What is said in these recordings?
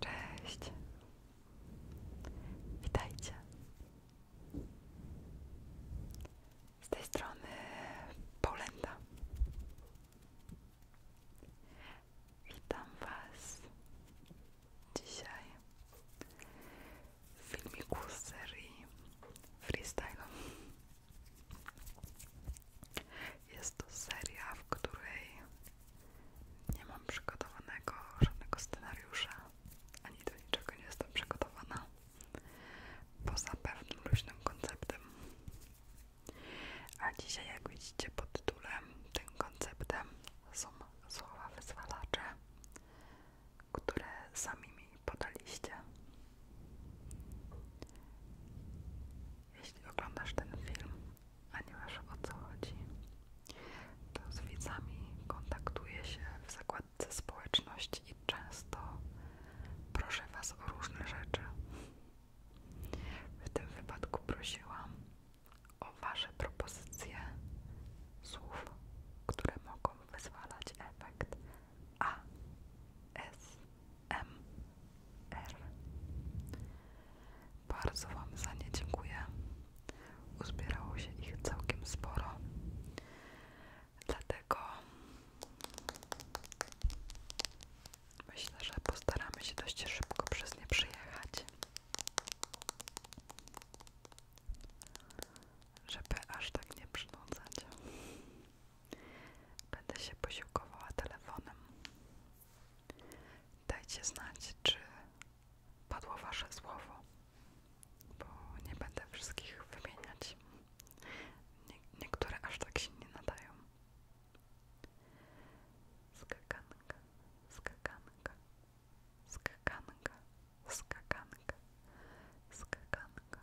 Cześć. Witajcie. Z tej strony Paulenda. Witam Was dzisiaj filmiku z serii freestyle. Jest to seria, w której nie mam przygotowanego żadnego scenariusza, ani do niczego nie jestem przygotowana, poza pewnym luźnym konceptem. A dzisiaj, jak widzicie pod tytułem, tym konceptem są słowa wyzwalacze, które sami mi podaliście. Jeśli oglądasz ten film, a nie o co chodzi, to z widzami kontaktuję się w zakładce społeczności i często proszę Was o różne rzeczy. W tym wypadku prosiłam o Wasze propozycje słów, które mogą wyzwalać efekt a S M R. Bardzo Wam za nie dziękuję. Uzbierało się ich całkiem sporo. Dlatego myślę, że postaramy się dość szybko przez nie przyjechać żeby aż tak nie przynudzać. Będę się posiłkowała telefonem. Dajcie znać, czy padło Wasze słowo, bo nie będę wszystkich wymieniać. niektóre aż tak się nie nadają. Skakanka, skakanka, skakanka, skakanka, skakanka,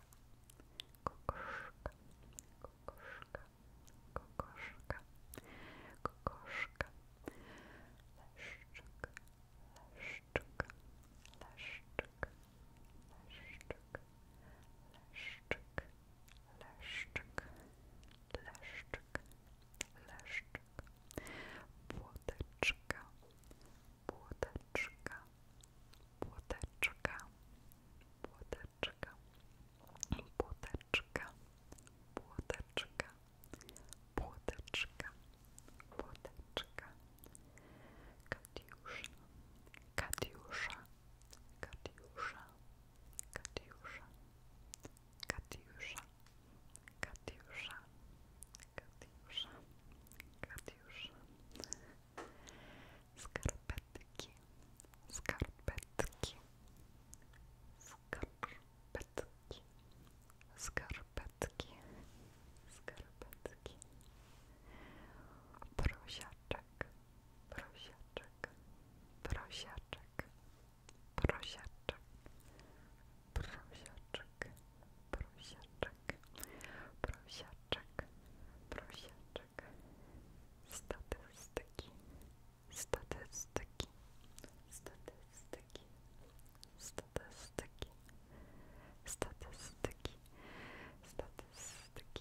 kokoszka, kokoszka, kokoszka, kokoszka, leszczyk, leszczyk, leszczyk, leszczyk, leszczyk, leszczyk, leszczyk, leszczyk, płoteczka, płoteczka, płoteczka, płoteczka, płoteczka, płoteczka, płoteczka, płoteczka, Katiusza, Katiusza, Katiusza, Katiusza, Katiusza, Katiusza, Katiusza, Katiusza skarpetki skarpetki skarpetki skarpetki skarpetki prosiaczek prosiaczek prosiaczek prosiaczek prosiaczek, prosiaczek, prosiaczek, prosiaczek, statystyki, statystyki, statystyki, statystyki, statystyki, statystyki,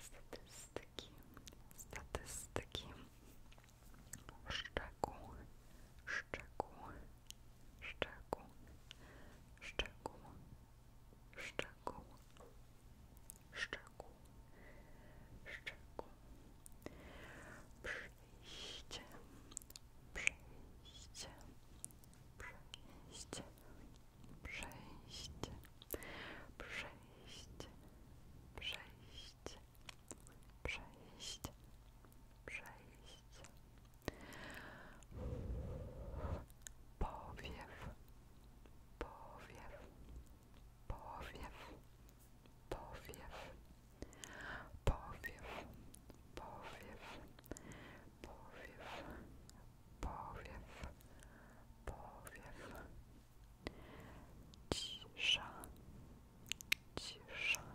statystyki, statystyki, szczegół, szczegół, szczegół, szczegół, szczegół, szczegół, szczegół, przejście, przejście, przejście, przejście, przejście, przejście, przejście, przejście, przejście, powiew, powiew, powiew, powiew, powiew, powiew, powiew, powiew, powiew, cisza, cisza, cisza,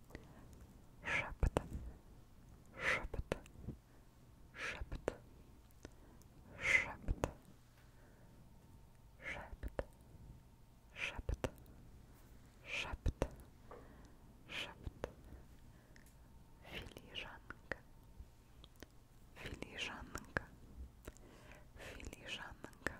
Szept, szept, szept, szept, szept, szept, szept, szept, filiżanka, filiżanka, filiżanka, filiżanka.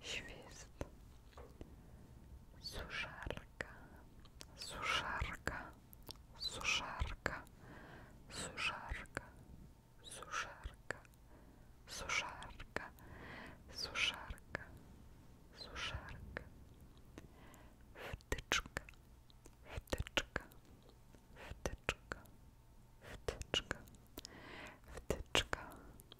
Świst. Suszarka. Suszarka. Suszarka. Suszarka. Suszarka. Suszarka. Suszarka. Suszarka. Wtyczka. Wtyczka. Wtyczka. Wtyczka. Wtyczka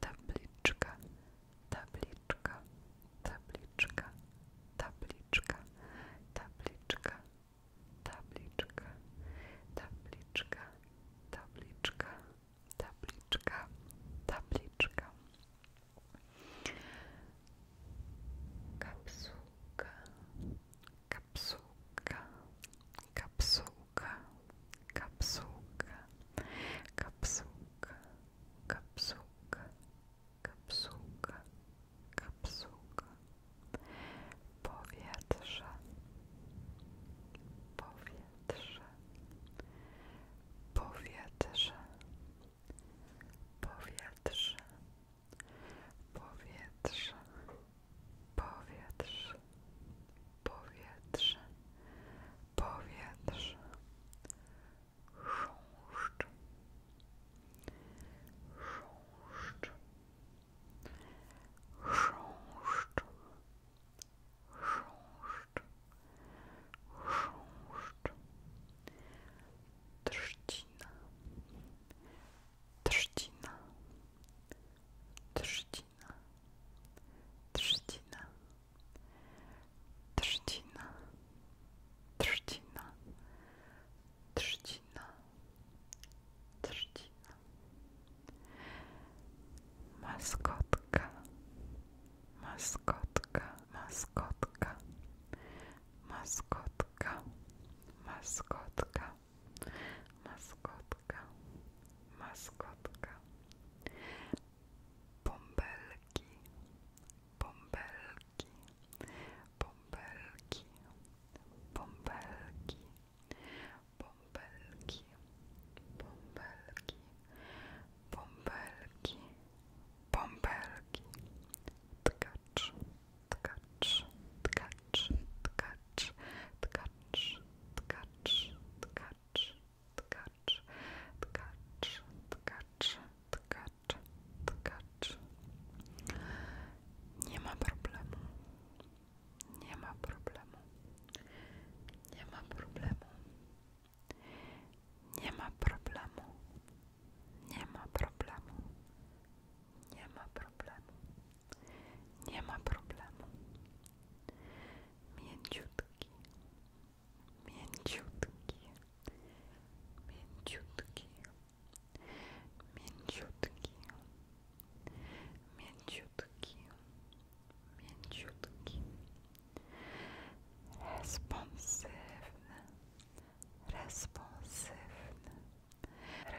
tabliczka, tabliczka, tabliczka, tabliczka, tabliczka, tabliczka, tabliczka, tabliczka, tabliczka, kapsuka, kapsuka, kapsuka, kapsuka, kapsułka, kapsułka, kapsułka, kapsułka, powietrze, powietrze, powietrze, powietrze, powietrze, powietrze, powietrze, powietrze, chrząszcz, chrząszcz, chrząszcz, chrząszcz, chrząszcz, trzcina, trzcina, trzcina, trzcina trzcina, trzcina, trzcina, trzcina, maskotka, maskotka, maskotka, maskotka, maskotka, maskotka, maskotka bąbelki, bąbelki, bąbelki, bąbelki, bąbelki, bąbelki, bąbelki, bąbelki, tkacz, tkacz, tkacz, tkacz, tkacz, tkacz, tkacz, tkacz, tkacz, tkacz, tkacz, tkacz. Nie ma problemu. Nie ma problemu. Nie ma problemu. Nie ma problemu. Nie ma problemu. Nie ma problemu. Nie ma problemu. Mięciutki, mięciutki, mięciutki, mięciutki, mięciutki, mięciutki, responsywny, responsywny,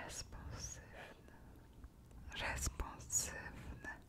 responsywny, responsywny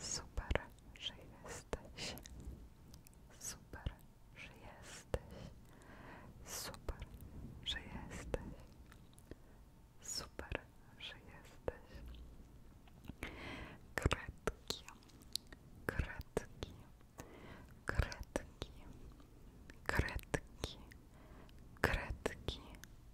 Super, że jesteś. Super, że jesteś. Super, że jesteś. Super, że jesteś. Kredki, kredki, kredki, kredki, kredki,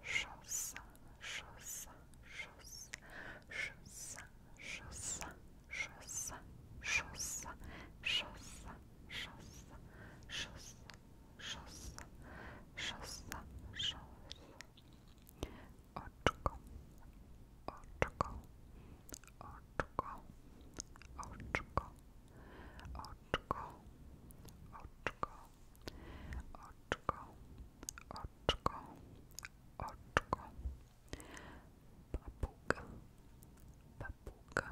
szosa, szosa, szosa, szosa, szosa, szosa, szosa, szosa, szosa, szosa, szosa, szosa, szosa, oczko, oczko, oczko, oczko, oczko, oczko, oczko, oczko, oczko, papuga, papuga,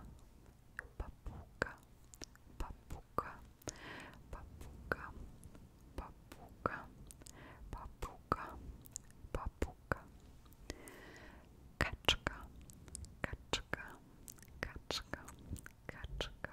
papuga, papuga, papuga, papuga, papuga, papuga, kaczka, kaczka, kaczka, kaczka, kaczka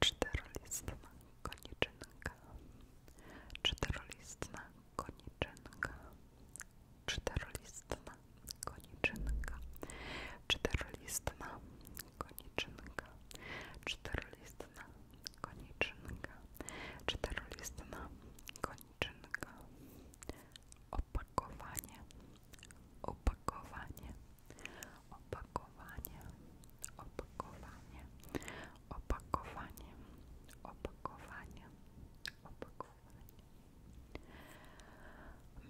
Czterolistna koniczynka. Czterolistna koniczynka. Czterolistna koniczynka. Czterolistna koniczynka. Czterolistna koniczynka. Czterolistna koniczynka. Opakowanie. Opakowanie opakowanie, opakowanie, opakowanie, opakowanie, opakowanie,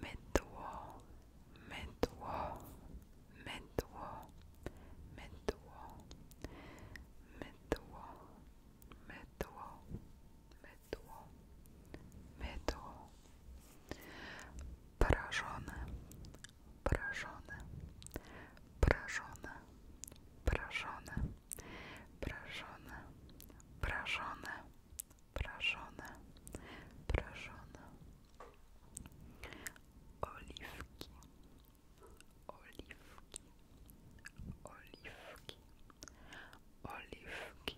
mydło, mydło, mydło, mydło, mydło, mydło, mydło, mydło, mydło, Porażone, porażone, porażone, porażone, porażone, porażone, porażone, porażone. Oliwki, oliwki, oliwki, oliwki, oliwki,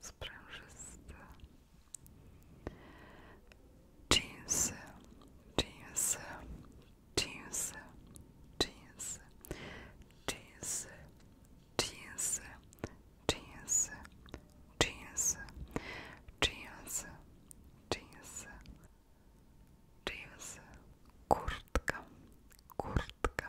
sprężyste jeansy, jeansy, jeansy, jeansy, jeansy, jeansy, jeansy, jeansy, jeansy, jeansy, kurtka, kurtka,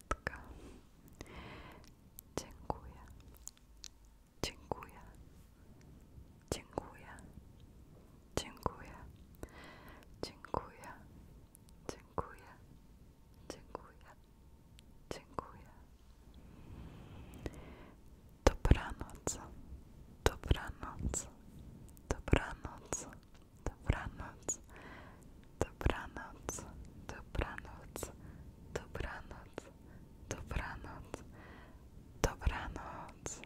kartka. Dziękuję. Dziękuję. Dziękuję. Dziękuję. Dziękuję. Dziękuję. Dziękuję. Dziękuję. Dobranoc. Dobranoc. Dobranoc dobranoc, dobranoc, dobranoc, dobranoc, dobranoc, dobranoc.